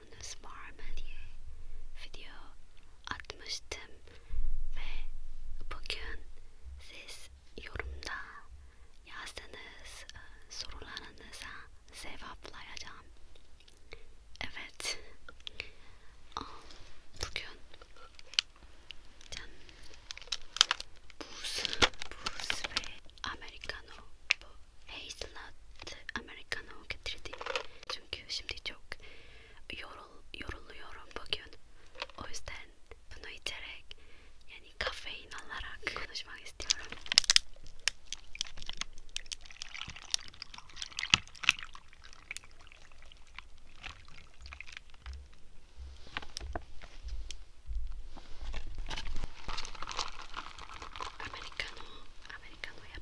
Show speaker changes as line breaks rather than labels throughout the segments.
fotoğrafınız var mı diye video atmıştım ve bugün siz yorumda yazdığınız e, sorularınıza cevaplayacağım. Evet, bugün buz, buz ve americano bu hazelnut americano getirdim çünkü şimdi çok yorul, yoruluyorum bugün. O yüzden bunu içerek yani kafein alarak konuşmak istiyorum. Americano, Americano ya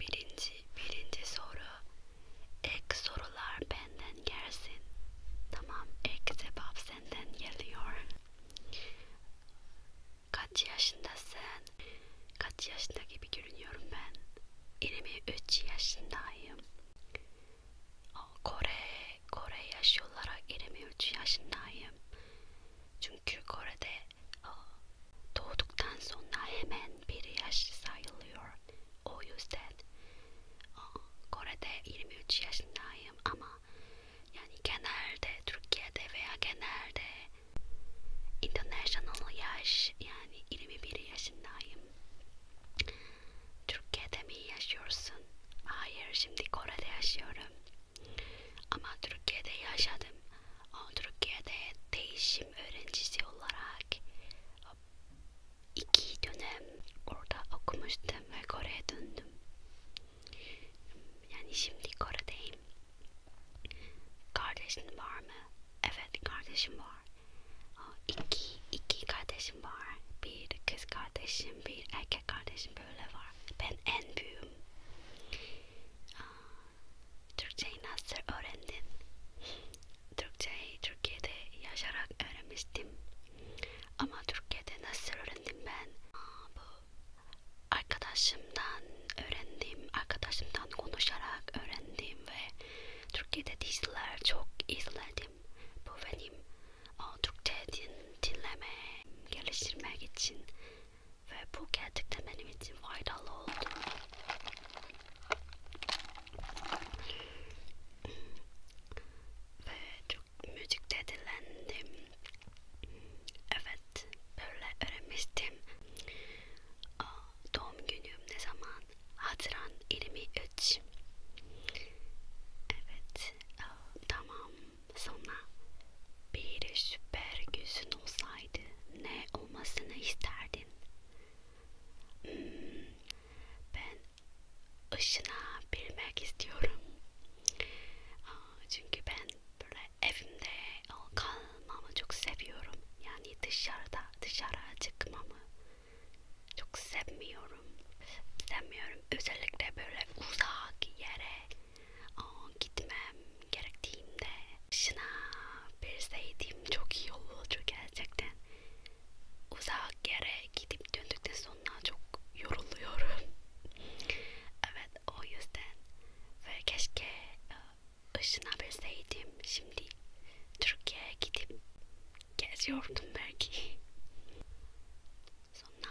birinci birinci soru ek sorular benden gelsin tamam ek cevap senden geliyor kaç yaşındasın kaç yaşında gibi görünüyorum ben 23 yaşındayım Kore Kore yaşı olarak 23 yaşındayım çünkü Kore'de doğduktan sonra hemen bir yaşlı sayılıyor. O yüzden Kore'de 23 yaşındayım ama yani genelde Türkiye'de veya genelde international yaş yani 21 yaşındayım. Türkiye'de mi yaşıyorsun? Hayır, şimdi Kore'de yaşıyorum. Ama Türkiye'de yaşadım. Türkiye'de değişim öğrencisi olarak iki dönem orada okumuştum ve Kore'ye döndüm. Yani şimdi Kore'deyim. Kardeşin var mı? Evet kardeşim var. İki, iki kardeşim var. Bir kız kardeşim, bir erkek kardeşim böyle var. Ben en büyüğüm. Türkçeyi nasıl öğrendin? Türkçeyi Türkiye'de yaşarak öğrenmiştim. Ama Türkiye'de nasıl öğrendim ben? Aa, bu arkadaşımdan öğrendim, arkadaşımdan konuşarak öğrendim ve Türkiye'de diziler çok izledim. Bu benim o, Türkçe din, dinleme geliştirmek için ve bu gerçekten benim için faydalı oldu. Ve çok müzikte dilendim. Evet, böyle öğrenmiştim. Aa, doğum günüm ne zaman? Haziran 23. Evet, aa, tamam. Sonra bir süper gözün olsaydı ne olmasını isterdin? Hmm, ben ışına bilmek istiyorum. Çünkü ben böyle evimde kalmamı çok seviyorum. Yani dışarıda dışarı çıkmamı çok sevmiyorum. Sevmiyorum. Özellikle böyle uzak yere Aa, gitmem gerektiğimde dışına bilseydim çok iyi olurdu gerçekten. Uzak yere gidip döndükten sonra çok yoruluyorum. evet o yüzden ve keşke e, ışına bilseydim şimdi Türkiye'ye gidip geziyordum belki. Sonra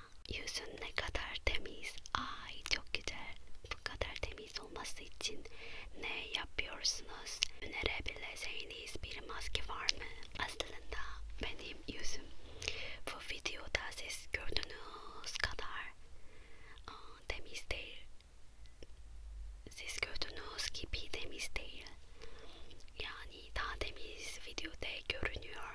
Yüzün ne kadar temiz. Ay çok güzel. Bu kadar temiz olması için ne yapıyorsunuz? Önerebileceğiniz bir maske var mı? Aslında benim yüzüm bu videoda siz gördüğünüz kadar aa, temiz değil. Siz gördüğünüz gibi temiz değil. Yani daha temiz videoda görünüyor.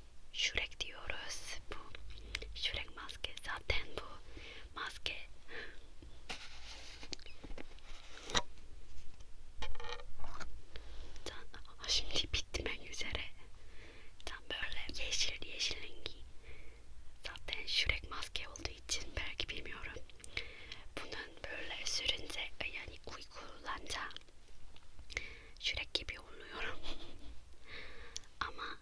şürek diyoruz. Bu şürek maske zaten bu maske. Tam, şimdi bitmek üzere. Tam böyle yeşil yeşil rengi. Zaten şürek maske olduğu için belki bilmiyorum. Bunun böyle sürünce yani uykulanca şürek gibi oluyorum. Ama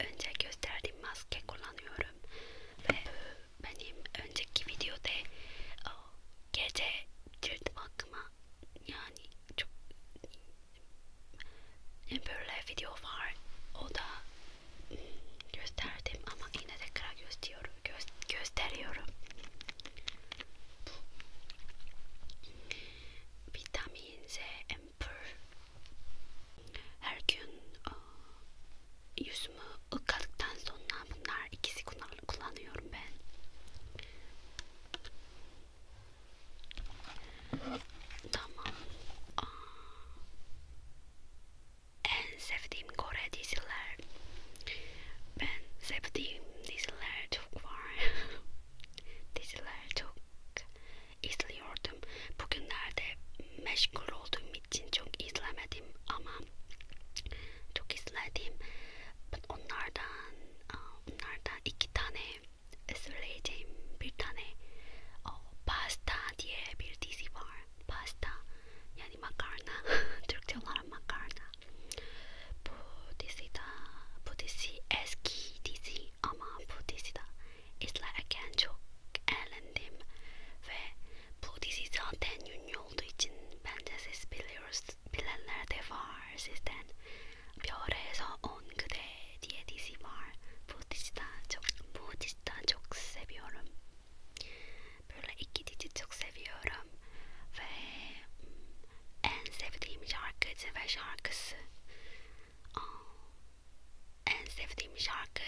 önce gösterdiğim maske kullanıyorum ve benim önceki videoda gece cilt bakma yani çok böyle video var o da hmm, gösterdim ama yine tekrar gösteriyorum göz, gösteriyorum vitamin C pır. Her gün o, yüzümü ıkladıktan sonra bunlar ikisi kullanıyorum ben. Tamam. Aa, en sevdiğim Kore diziler. Ben sevdiğim diziler çok var. diziler çok izliyordum. Bugünlerde meşgul olduğum için çok izlemedim ama çok izledim. Onlardan, onlardan iki tane söyleyeceğim. Bir tane o pasta diye bir dizi var. Pasta yani makarna. Türkçe olarak makarna. Bu dizi de, bu dizi eski dizi ama bu dizide izlerken çok eğlendim ve bu dizi zaten ünlü olduğu için bence siz biliyoruz, bilenler de var sizden. Bioreza Ongude diye dizi var. Bu diziden çok, bu diziden çok seviyorum. Böyle iki dizi çok seviyorum ve hmm, en sevdiğim şarkıcı ve şarkısı. Aa, en sevdiğim şarkı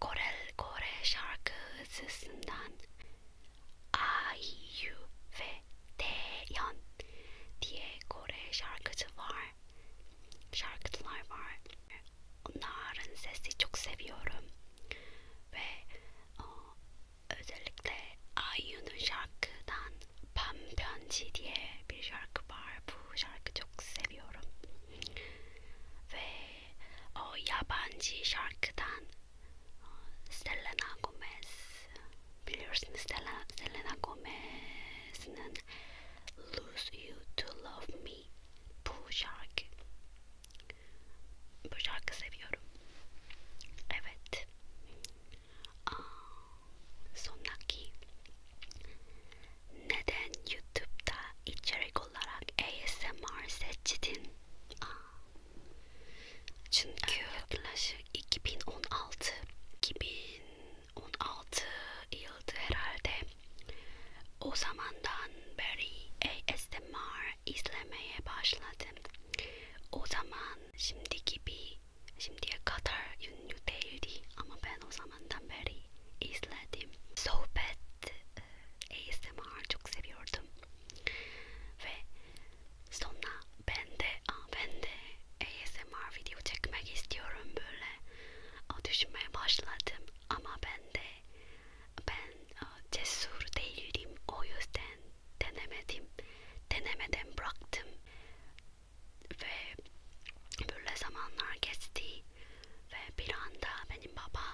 Korel Kore şarkısından IU ve Taeyeon diye Kore şarkıcı var. Şarkıcılar var. Onların sesi çok seviyorum. Ve o, özellikle IU'nun şarkıdan Pam Pyeonji diye bir şarkı var. Bu bu şarkı çok seviyorum. Ve o yabancı şarkıdan Selena Gomez biliyorsunuz Selena, Selena Gomez'in Lose You To Love Me bu şarkı bu şarkı seviyorum evet Aa, Sondaki neden YouTube'da içerik olarak ASMR seçtin? Aa. Çünkü yaklaşık 2016 2016 yıldı herhalde. O zamandan beri ASMR izlemeye başladım. O zaman şimdi gibi şimdiye kadar ünlü değildi ama ben o zaman zamandan beri izledim. Sohbet e, ASMR çok seviyordum. Ve sonra ben de, aa, ben de ASMR video çekmek istiyorum böyle o, düşünmeye başladım. Ama ben de ben o, cesur değildim. O yüzden denemedim. Denemeden bıraktım ve böyle zamanlar geçti ve bir anda benim baba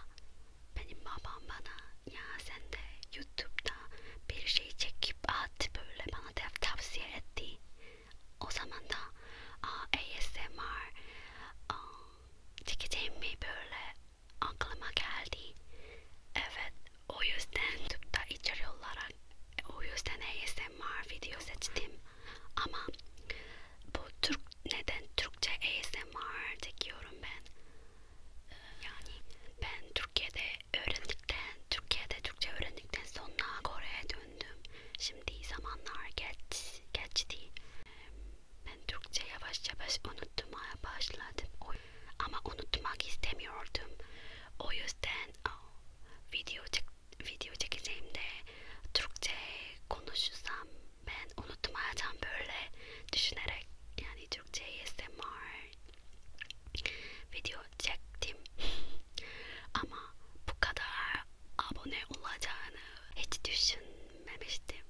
benim babam bana ya sen de YouTube'da bir şey çekip at böyle bana da tavsiye etti. O zaman da ASMR çekeceğim mi böyle aklıma geldi. Evet o yüzden YouTube'da içeri olarak o yüzden ASMR video seçtim. Ama bu Türk neden Türkçe ASMR diyorum ben. Yani ben Türkiye'de öğrendikten, Türkiye'de Türkçe öğrendikten sonra Kore'ye döndüm. Şimdi zamanlar geç, geçti. Ben Türkçe yavaş yavaş unutmaya başladım. Ama unutmak istemiyordum. O yüzden oh, video çektim video çekeceğim de Türkçe konuşursam ben unutmayacağım böyle düşünerek yani Türkçe ASMR video çektim ama bu kadar abone olacağını hiç düşünmemiştim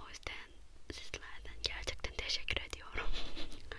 o yüzden sizlerden gerçekten teşekkür ediyorum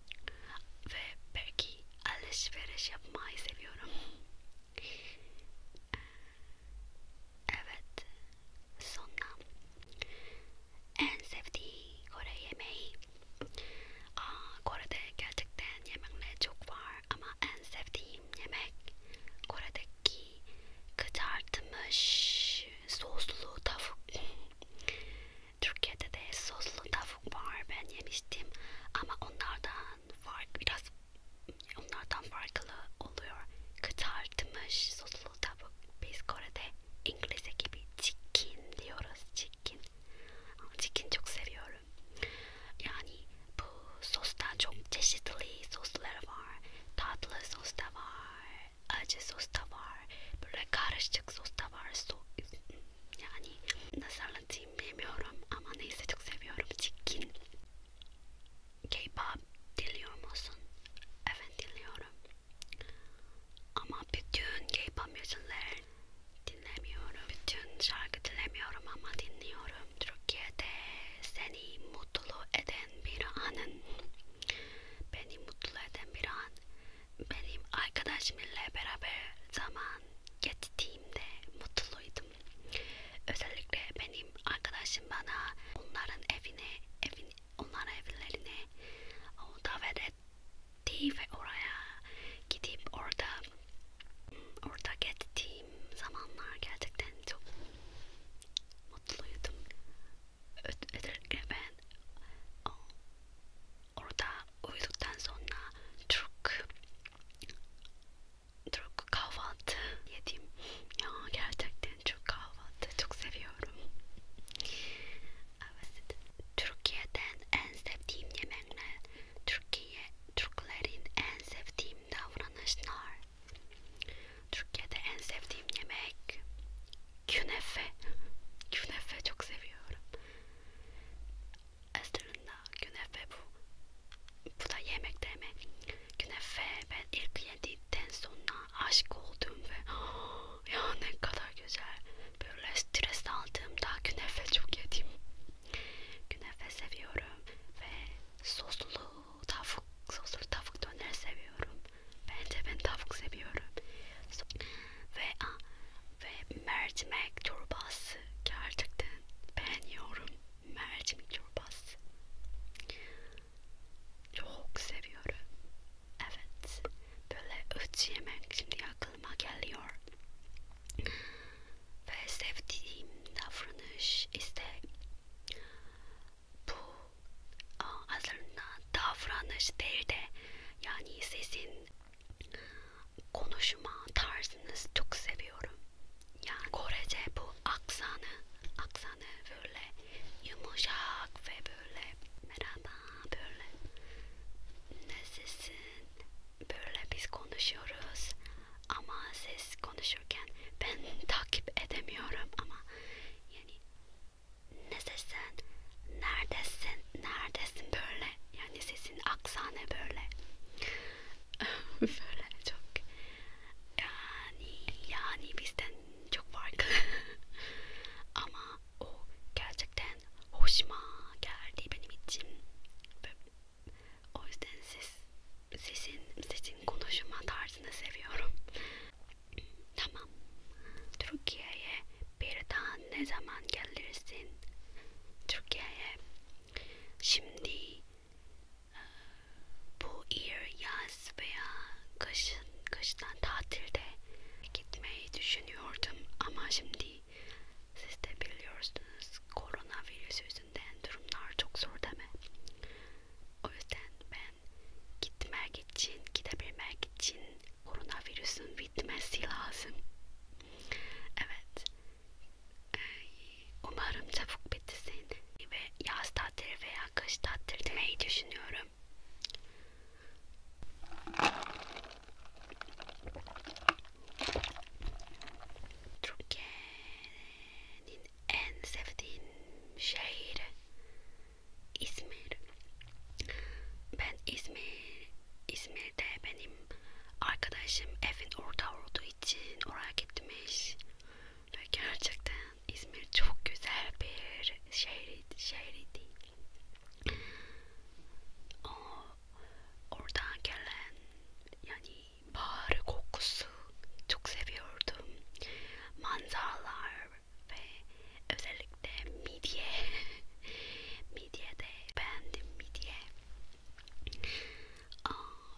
ve belki alışveriş yapmayı seviyorum. Evet, sonra en sevdiği Kore yemeği. Aa, Kore'de gerçekten yemekler çok var ama en sevdiğim yemek Kore'deki kızartmış soslu tavuk. Türkiye'de de soslu tavuk var ben yemiştim ama onlardan fark biraz onlardan farklı oluyor. Kızartmış soslu tavuk biz Kore'de İngilizce gibi chicken diyoruz chicken. Chicken çok seviyorum. Yani bu sostan çok çeşitli soslar var. Tatlı sos da var, acı sos da var, böyle karışık sos da var. So yani nasıl anlatayım bilmiyorum ama neyse çok seviyorum. Çirkin. K-pop dinliyor musun? Evet dinliyorum. Ama bütün K-pop müzikler dinlemiyorum. Bütün şarkı dinlemiyorum ama dinliyorum. Türkiye'de seni mutlu eden bir anın. Beni mutlu eden bir an benim arkadaşımla beraber zaman geçtiğimde mutluydum. Özellikle benim arkadaşım bana onların evine, evin, onların evlerine davet etti ve oraya gidip orada orada geçtiğim zamanlar gerçekten çok mutluydum. Özellikle ben orada uyuduktan sonra Türk Türk kahvaltı yedim. Ya gerçekten Türk kahvaltı çok seviyorum. Evet. Türkiye'den en sevdiğim yemekler, Türkiye Türklerin en sevdiğim davranışlar. Türkiye'de en sevdiğim yemek künefe. künefe çok seviyorum. Esturunda künefe bu. Bu da yemek deme. Künefe ben ilk yedikten sonra aşık oldum ve oh, ya ne kadar güzel. Böyle stres aldığımda künefe çok yedim. Künefe seviyorum ve soslu tavuk, soslu tavuk döner seviyorum. Bence ben tavuk seviyorum. Ve a, ve mercimek çorbası gerçekten beğeniyorum mercimek çorbası çok seviyorum evet böyle üç yemek şimdi aklıma geliyor ve sevdiğim davranış işte bu aslında davranış değil de yani sizin konuşma tarzınızı çok seviyorum. Yani Korece bu aksanı, aksanı böyle yumuşak ve böyle merhaba böyle nasılsın böyle biz konuşuyoruz ama siz konuşurken ben takip edemiyorum ama yani nasılsın neredesin neredesin böyle yani sesin aksanı böyle böyle çok yani yani bizden çok farklı ama o gerçekten hoşuma geldi benim için o yüzden siz sizin sizin konuşma tarzını seviyorum tamam Türkiye'ye bir daha ne zaman gelirsin Türkiye'ye? Şimdi e, bu yıl yaz veya kışın kıştan tatilde gitmeyi düşünüyordum ama şimdi siz de biliyorsunuz koronavirüs yüzünden durumlar çok zor değil mi? O yüzden ben gitmek için, gidebilmek için koronavirüsün bitmesi lazım. Evet. Ee, umarım çabuk bitti seni ve yaz tatili veya kış tatili demeyi düşünüyorum. Türkiye'nin en sevdiğim şehri İzmir. Ben İzmir İzmir'de benim arkadaşım evin orada olduğu için oraya gitmiş ve gerçekten İzmir çok güzel bir şehir şehirdi. O oradan gelen yani bahar kokusu çok seviyordum. Manzaralar ve özel birlikte midye midye de beğendim midye Aa,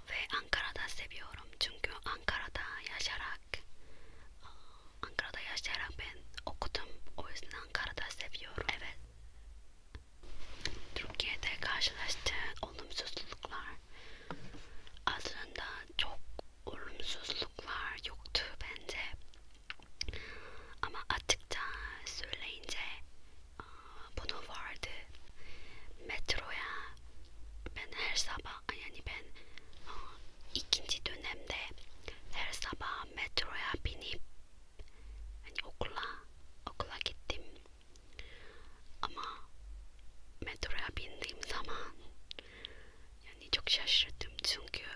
ve Ankara'da seviyorum çünkü Ankara'da yaşarak aa, Ankara'da yaşayarak ben okudum o yüzden Ankara'da seviyorum evet Türkiye'de karşılaştığı olumsuzluklar aslında çok olumsuzluklar yoktu bence ama açıkça söyleyince bunu vardı. Metroya ben her sabah yani ben ikinci dönemde her sabah metroya binip yani okula okula gittim. Ama metroya bindiğim zaman yani çok şaşırdım çünkü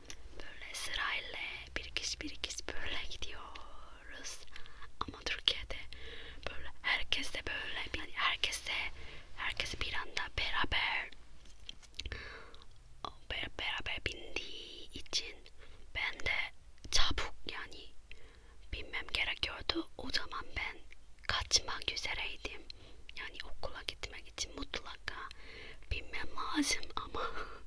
böyle sırayla bir kişi bir kişi böyle gidiyoruz ama Türkiye'de böyle herkes de böyle yani herkes de herkes bir anda beraber beraber bindiği için ben de çabuk yani binmem gerekiyordu o zaman ben kaçmak üzereydim yani okula gitmek için mutlaka binmem lazım ama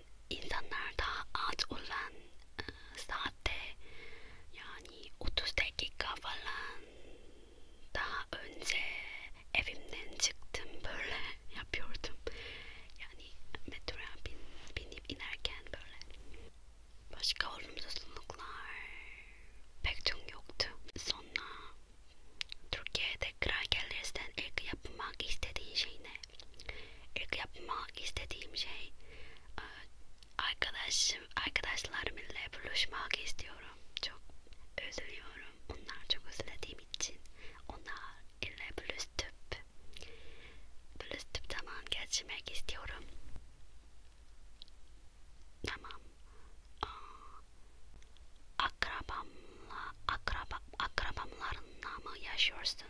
insanlar daha az olan e, saatte yani 30 dakika falan daha önce evimden çıktım böyle yapıyordum yani metroya bin, binip inerken böyle başka olumsuzluklar pek çok yoktu sonra Türkiye'de tekrar gelirsen ilk yapmak istediğin şey ne? İlk yapmak istediğim şey e, arkadaşım arkadaşlarımla buluşmak istiyorum. Çok özlüyorum. Onlar çok özlediğim için onlar ile buluşup buluşup zaman geçirmek istiyorum. Tamam. Akrabamla akraba akrabamlar yalnızlığımı yaşıyorsun.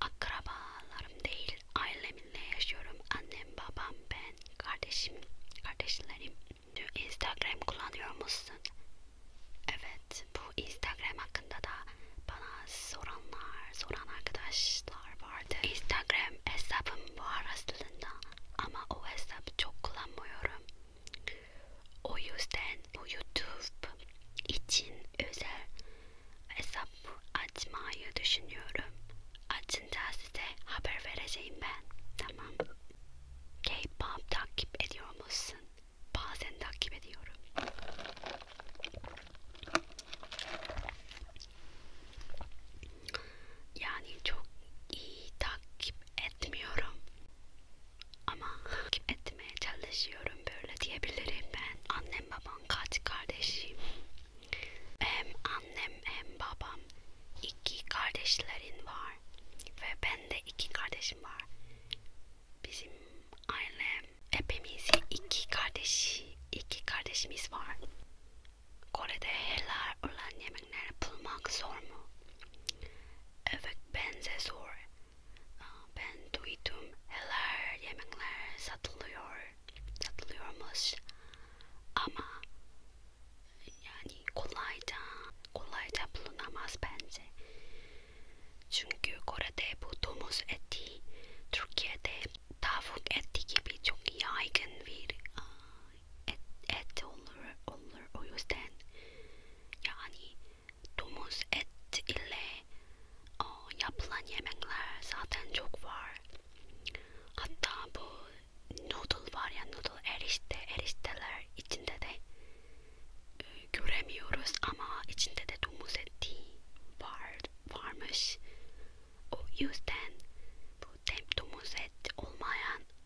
Akrabalarım değil, ailemle yaşıyorum. Annem, babam, ben, kardeşim, kardeşlerim. Instagram kullanıyor musun? Evet, bu Instagram hakkında da bana soranlar, soran arkadaşlar vardı. Instagram hesabım var aslında ama o hesabı çok kullanmıyorum. O yüzden YouTube için özel hesap açmayı düşünüyorum. Açınca size haber vereceğim ben. Tamam. K-pop takip ediyor musun? Bazen takip ediyorum. Yani çok iyi takip etmiyorum. Ama takip etmeye çalışıyorum böyle diyebilirim ben. Annem babam kaç kardeşim? Hem annem hem babam iki kardeşlerin var ve ben de iki kardeşim var. Bizim ailem hepimiz iki kardeş, iki kardeşimiz var. Kore'de helal olan yemekleri bulmak zor mu? Evet bence zor ben duydum neler yemekler satılıyor satılıyormuş ama yani kolayca kolayca bulunamaz bence çünkü Kore'de bu domuz eti Türkiye'de tavuk eti gibi çok yaygın bir e, et, et olur olur o yüzden yani Domuz et ile o, e, yapılan yemekler zaten çok var. Hatta bu noodle var ya noodle erişte erişteler içinde de e, göremiyoruz ama içinde de domuz eti var varmış. O yüzden bu domuz et olmayan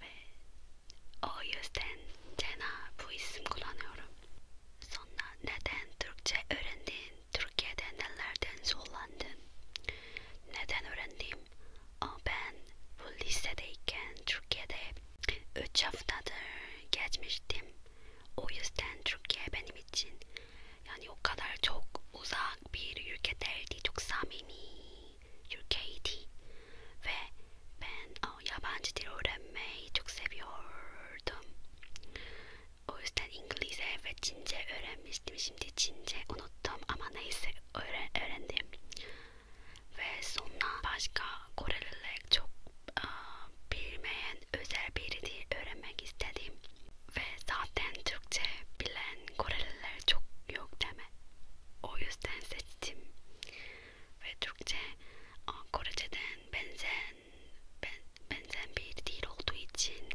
ve o yüzden Cena bu isim kullanıyorum. Sonra neden Türkçe öğrendin? Türkiye'de nelerden zorlandın? Neden öğrendim? O ben bu lisedeyken Türkiye'de 3 haftadır geçmiştim. O yüzden Türkiye benim için yani o kadar çok uzak bir ülke değildi. Çok samimi your Katie ve ben o, yabancı dil öğrenmeyi çok seviyordum. O yüzden İngilizce ve Çince öğrenmiştim. Şimdi Çince unuttum ama neyse öğren öğrendim. Ve sonra başka Koreliler çok uh, bilmeyen özel bir dil öğrenmek istedim. Ve zaten Türkçe bilen Koreliler çok yok deme. O yüzden seçtim ve Türkçe Korece'den benzen ben, benzen bir dil olduğu için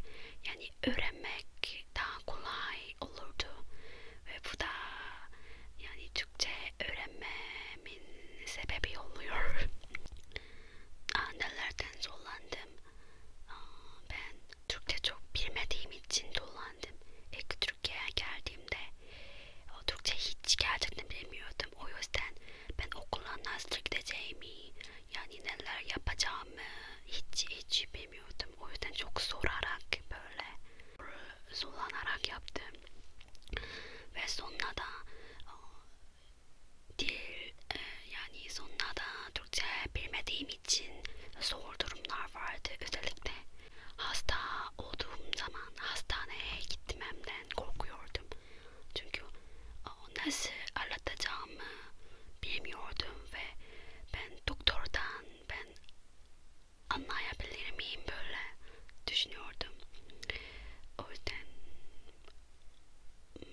yani öğrenmek daha kolay olurdu ve bu da yani Türkçe öğrenmemin sebebi oluyor. Aa, nelerden zorlandım? Aa, ben Türkçe çok bilmediğim için zorlandım. İlk Türkiye'ye geldiğimde o Türkçe hiç gerçekten bilmiyordum. O yüzden ben okula nasıl gideceğimi, yani neler yapacağımı hiç hiç bilmiyordum. O yüzden çok sorarak böyle zorlanarak yaptım. Ve sonra da e, dil e, yani sonra da Türkçe bilmediğim için zor durumlar vardı. Özellikle Hasta olduğum zaman hastaneye gitmemden korkuyordum. Çünkü nasıl anlatacağımı bilmiyordum ve ben doktordan ben anlayabilir miyim böyle düşünüyordum. O yüzden hmm,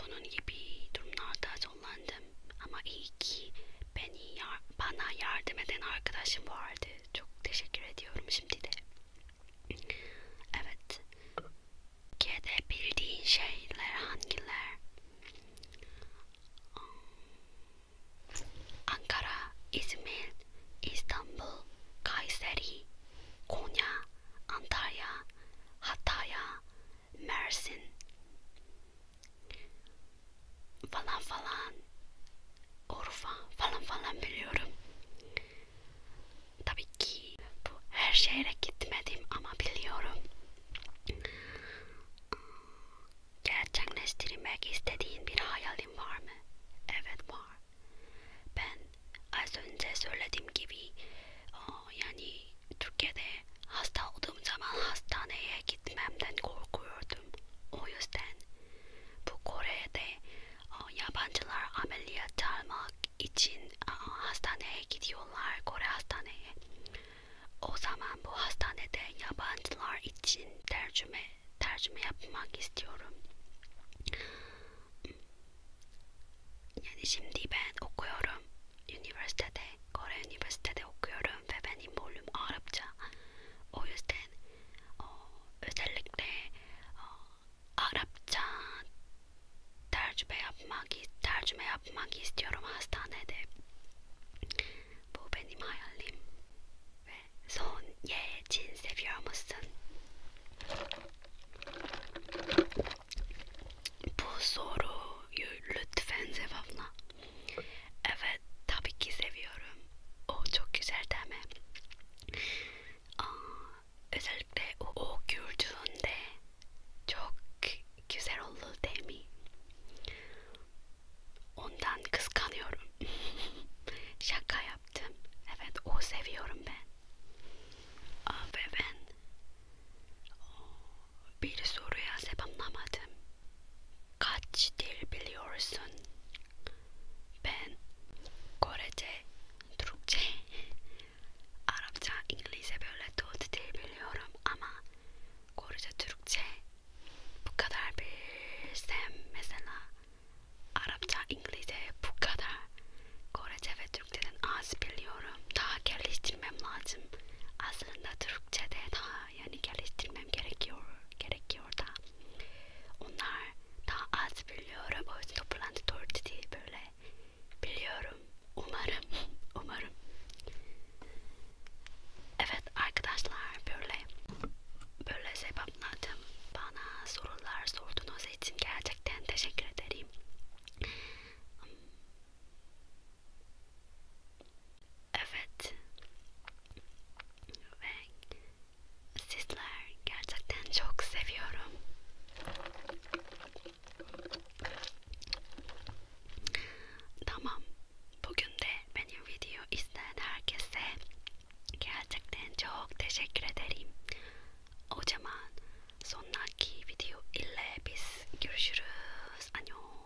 bunun gibi durumlarda zorlandım ama iyi ki beni yar bana yardım eden arkadaşım vardı çok teşekkür ediyorum şimdi de. Evet. Türkiye'de bildiğin şeyler hangiler? Hmm. Ankara, İzmir, İstanbul, Kayseri, Konya, Antalya, Hatay, Mersin, falan falan Urfa falan falan biliyorum. Tabii ki bu her şehre gitmedim ama biliyorum. Gerçekleştirmek istediğin bir hayalin var mı? Evet var. Ben az önce söylediğim gibi yani Türkiye'de hasta olduğum zaman hastaneye gitmemden korkuyordum. O yüzden bu Kore'de e, yabancılar ameliyat almak için e, hastaneye gidiyorlar Kore hastaneye. O zaman bu hastanede yabancılar için tercüme tercüme yapmak istiyorum. Yani şimdi ben okuyorum üniversitede Kore üniversitede okuyorum ve benim bölüm Arapça. O yüzden o, özellikle o, Arapça tercüme yapmak, tercüme yapmak istiyorum hastanede. Bu benim hayalim. Ve son ye cin seviyor musun? Bu soruyu lütfen cevapla. Evet tabii ki seviyorum. O çok güzel değil mi? Aa, özellikle o, o gördüğünde çok güzel oldu değil mi? Ondan kıskanıyorum. Şaka yaptım. Evet o seviyorum ben. Ah, Aa, ve ben bir soruya cevap alamadım. Kaç dil biliyorsun? Ben Korece, Türkçe, Arapça, İngilizce böyle dört biliyorum ama Korece, Türkçe bu kadar bilsem mesela Arapça, İngilizce bu kadar Korece ve Türkçeden az biliyorum daha geliştirmem lazım aslında Türkçede daha yani geliştirmem gerekiyor gerekiyor da onlar daha az biliyorum o yüzden toplantı tortisi böyle biliyorum umarım umarım evet arkadaşlar böyle böyle sebeplerden bana sorular sorduğunuz için gerçekten teşekkür ederim Evet. Ve sizler gerçekten çok seviyorum. Tamam. Bugün de benim video izleyen herkese gerçekten çok teşekkür ederim. O zaman sonraki video ile biz görüşürüz. Annyeong.